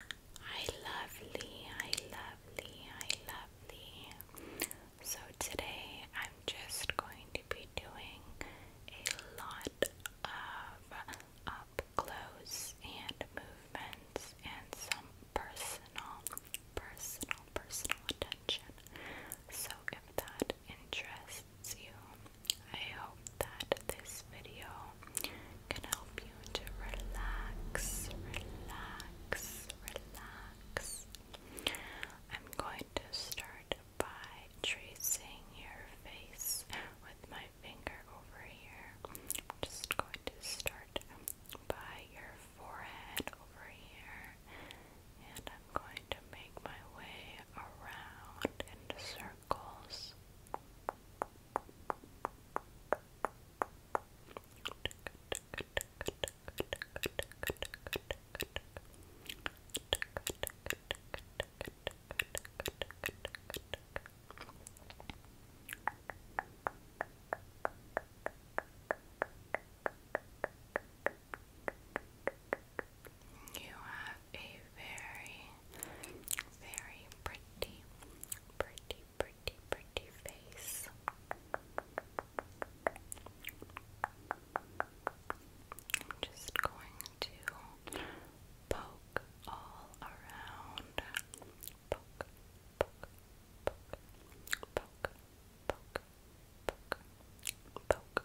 I love I love hi I love lovely. So today I'm just going to be doing a lot of up close and movements and some personal, personal, personal attention. So if that interests you, I hope that this video can help you to relax, relax, relax. I'm going to start by tracing your face with my finger over here. I'm just going to start by your forehead over here, and I'm going to make my way around in circles. You have a very, very pretty, pretty, pretty, pretty, pretty face. I'm just going to poke all around. Poke, poke, poke, poke, poke, poke, poke, poke, poke.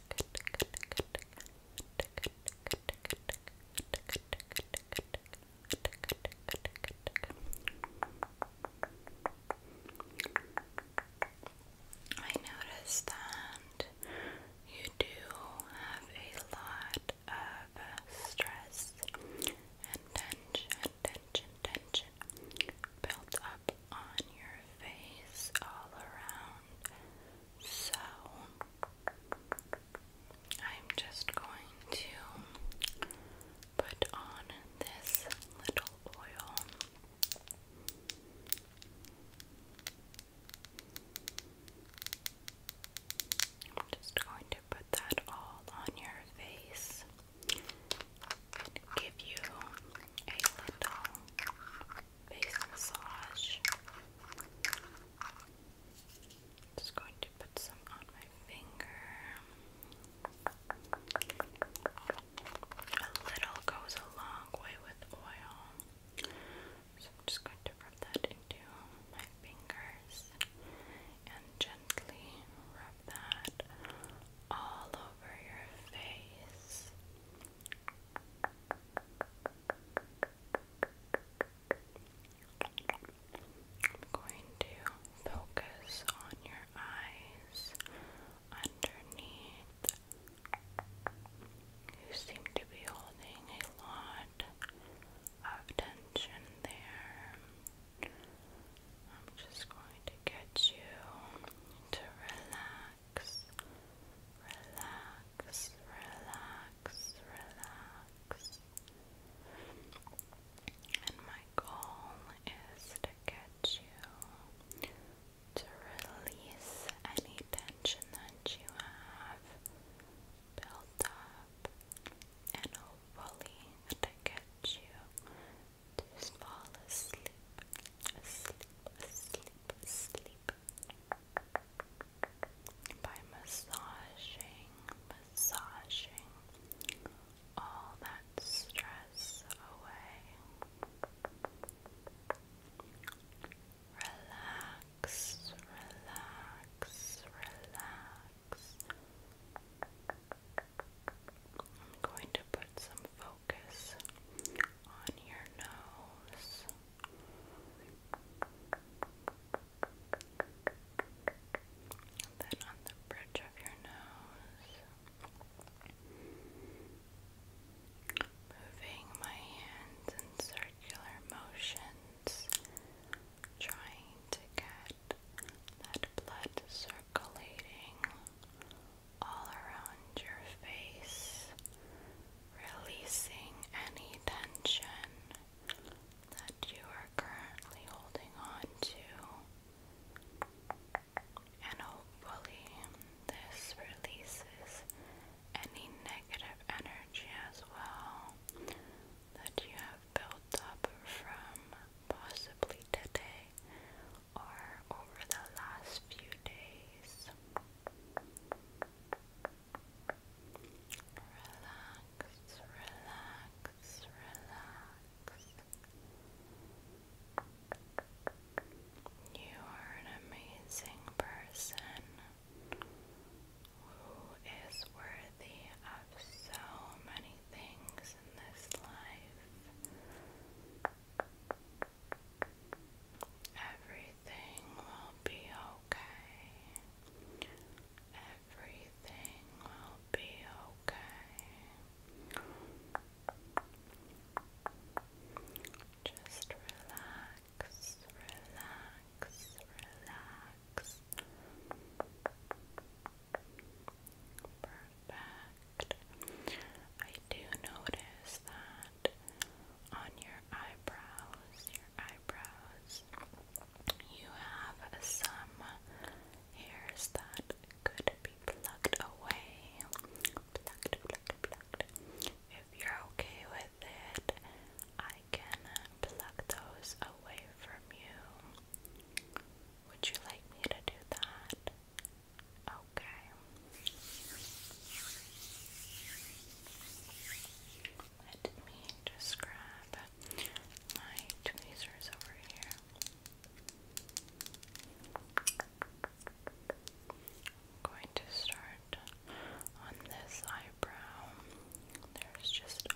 I noticed that you do have a lot of uh, stress and tension, tension, tension, built up on your face all around. So I'm just going to put on this little oil. I'm just going to put that all on your face give you a little face massage. Just going to put some on my finger. A little goes a long way with oil. So I'm just going to rub that into my fingers and gently rub that all over your face. I'm going to focus on your eyes underneath. You seem to be holding a lot of tension there. I'm just going to get you to relax relax, relax, relax, relax. And my goal is to get you to release any tension that you have built up and hopefully to get you just fall asleep, asleep, asleep, asleep. By massaging, massaging all that stress away. Relax, relax, relax. I'm going to put some focus on your nose. then on the bridge of your nose. Moving my hands in circular motions, trying to get that blood circulating all around your face, releasing any tension that you are currently holding on to. And hopefully, this releases any negative energy as well that you have built up from possibly today or over the last few days. Relax, relax, relax. You are an amazing person who is worthy of so many things in this life. Everything will be okay. Everything will be okay. Just relax, relax, relax. Perfect. I do notice that on your eyebrows, your eyebrows, you have some hairs that could be plucked away. Plucked, plucked, plucked. If you're okay with it, I can pluck those away from you. Would you like me to do that? Okay. Let me just grab my tweezers over here. I'm going to start on this eyebrow. There's just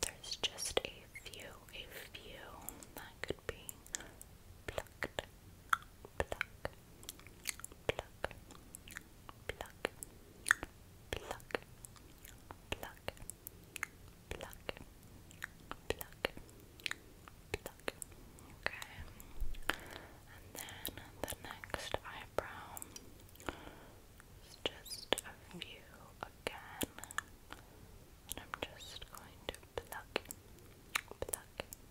there's just a few, a few that could be pluck, pluck, pluck, pluck, pluck, pluck, pluck, pluck. Okay. And then the next eyebrow is just a few again. And I'm just going to pluck, pluck,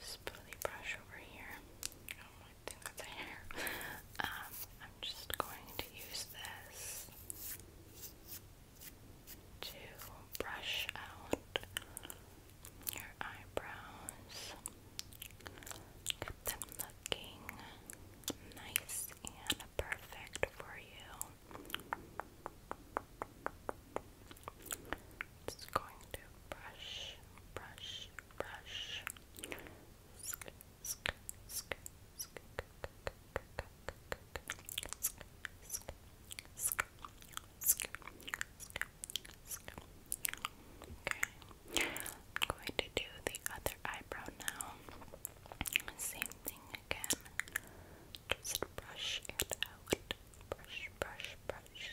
spoolie brush over here. Oh, I think that's hair. Um, I'm just going to use this to brush out your eyebrows. Get them looking nice and perfect for you. Just going to brush, brush, brush. Sk sk sk sk sk sk sk sk sk Okay. I'm going to do the other eyebrow now. Same thing again. Just brush it out. Brush, brush, brush.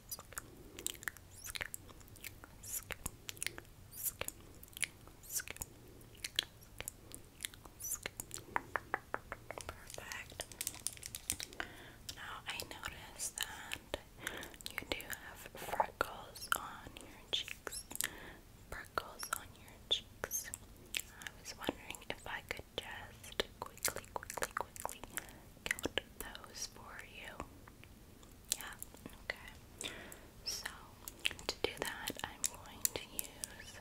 Perfect. Now I notice that you do have freckles on your cheeks. Freckles on your cheeks. I was wondering if I could just quickly, quickly, quickly count those for you. Yeah, okay. So, to do that, I'm going to use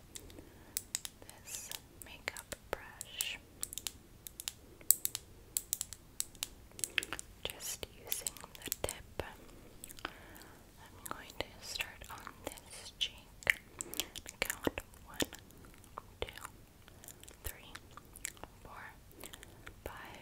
this makeup brush. Just using the tip, I'm going to start on this cheek. Count one, two, three, four, five,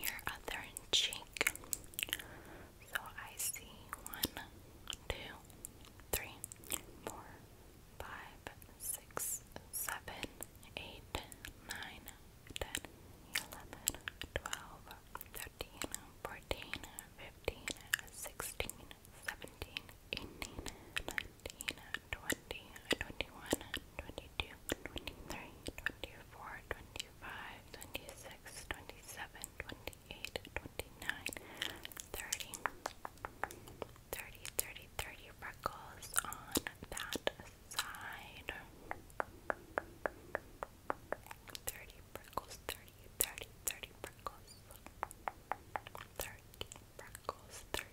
your other cheek. So I see one, two, three, four, five, six, seven, eight, nine, ten, eleven, twelve, thirteen, fourteen, fifteen, sixteen, seventeen, eighteen, nineteen, twenty, twenty-one, 22, 23, freckles on that side. 30 freckles, 30, freckles. 30 freckles, 30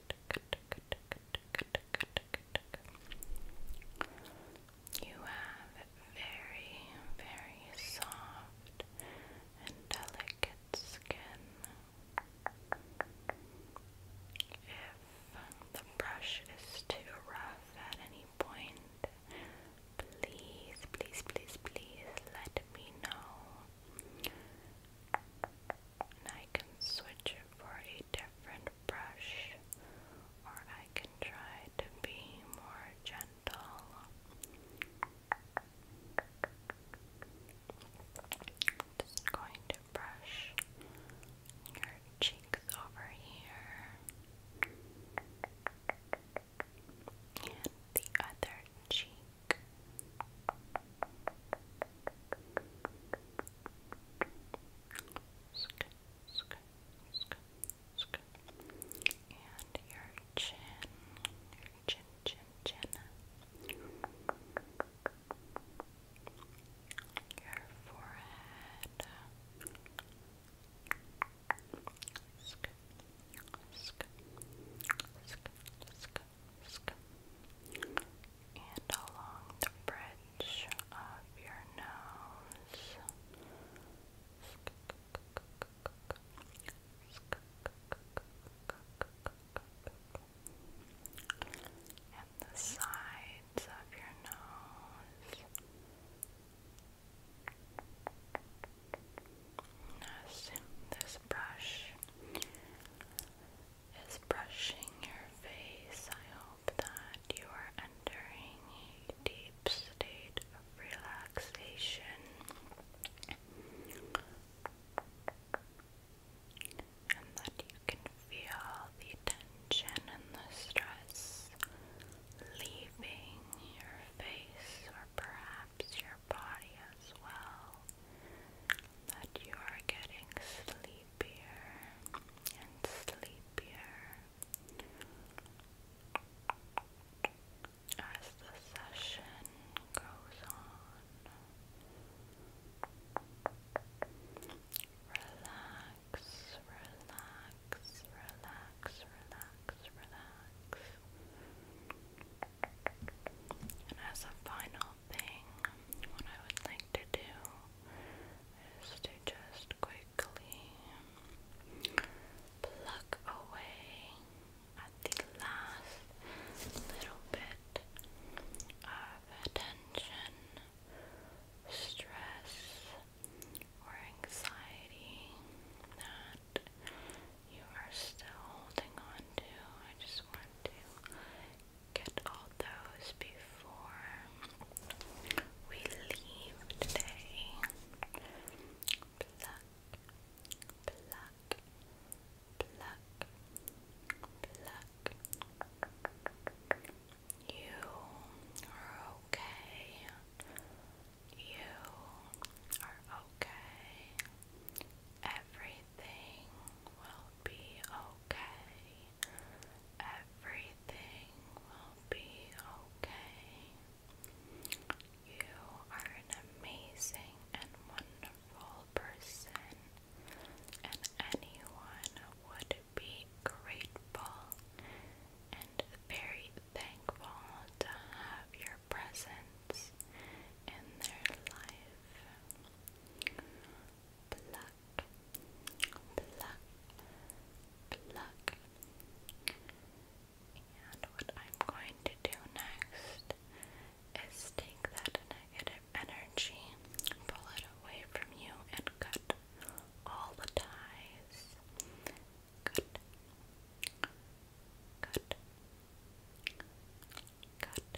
You have very, very soft and delicate skin. If the brush is too rough at any point, please, please, please, please let me know. I can switch it for a different brush, or I can try to be more gentle. Just going to brush your cheeks over here and the other cheek. Sk sk and your chin, chin, chin, chin. Your forehead mask and along the bridge of your nose. And the sides of your nose. Yes, this brush is brushing your face. I hope that you are entering deep state of relaxation. And that you can feel the tension and the stress leaving your face or perhaps your body as well that you are getting sleepier and sleepier as the session goes on. Relax, relax, relax, relax, relax. And as a final thing, what I would like to do is to just quickly pluck away at the last little bit of tension, stress, or anxiety that you are still holding on to. I just want to get all those before we leave today. Pluck, pluck, pluck, pluck. You are okay. You are okay. Everything will be okay. Everything will be okay. You are an amazing and wonderful person, and anyone would be grateful and very thankful to have your presence in their life pluck, And what I'm going to do next is take that negative energy, pull it away from you, and cut all the ties. Cut, cut, cut,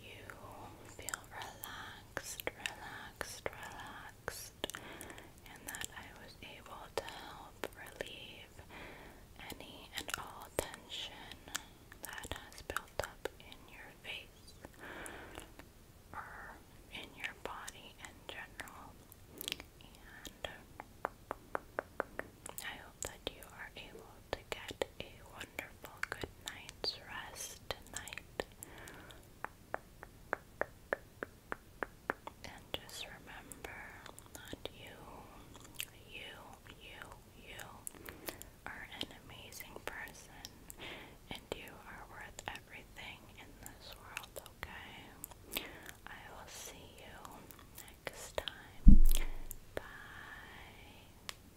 you feel relaxed, relaxed, relaxed, and that I was able to help relieve any and all tension that has built up in your face or in your body in general. And I hope that you are able to get a wonderful good night's rest tonight. And just remember that you, you, you, you are an amazing person and you are worth everything in this world, okay? I will see you next time. Bye.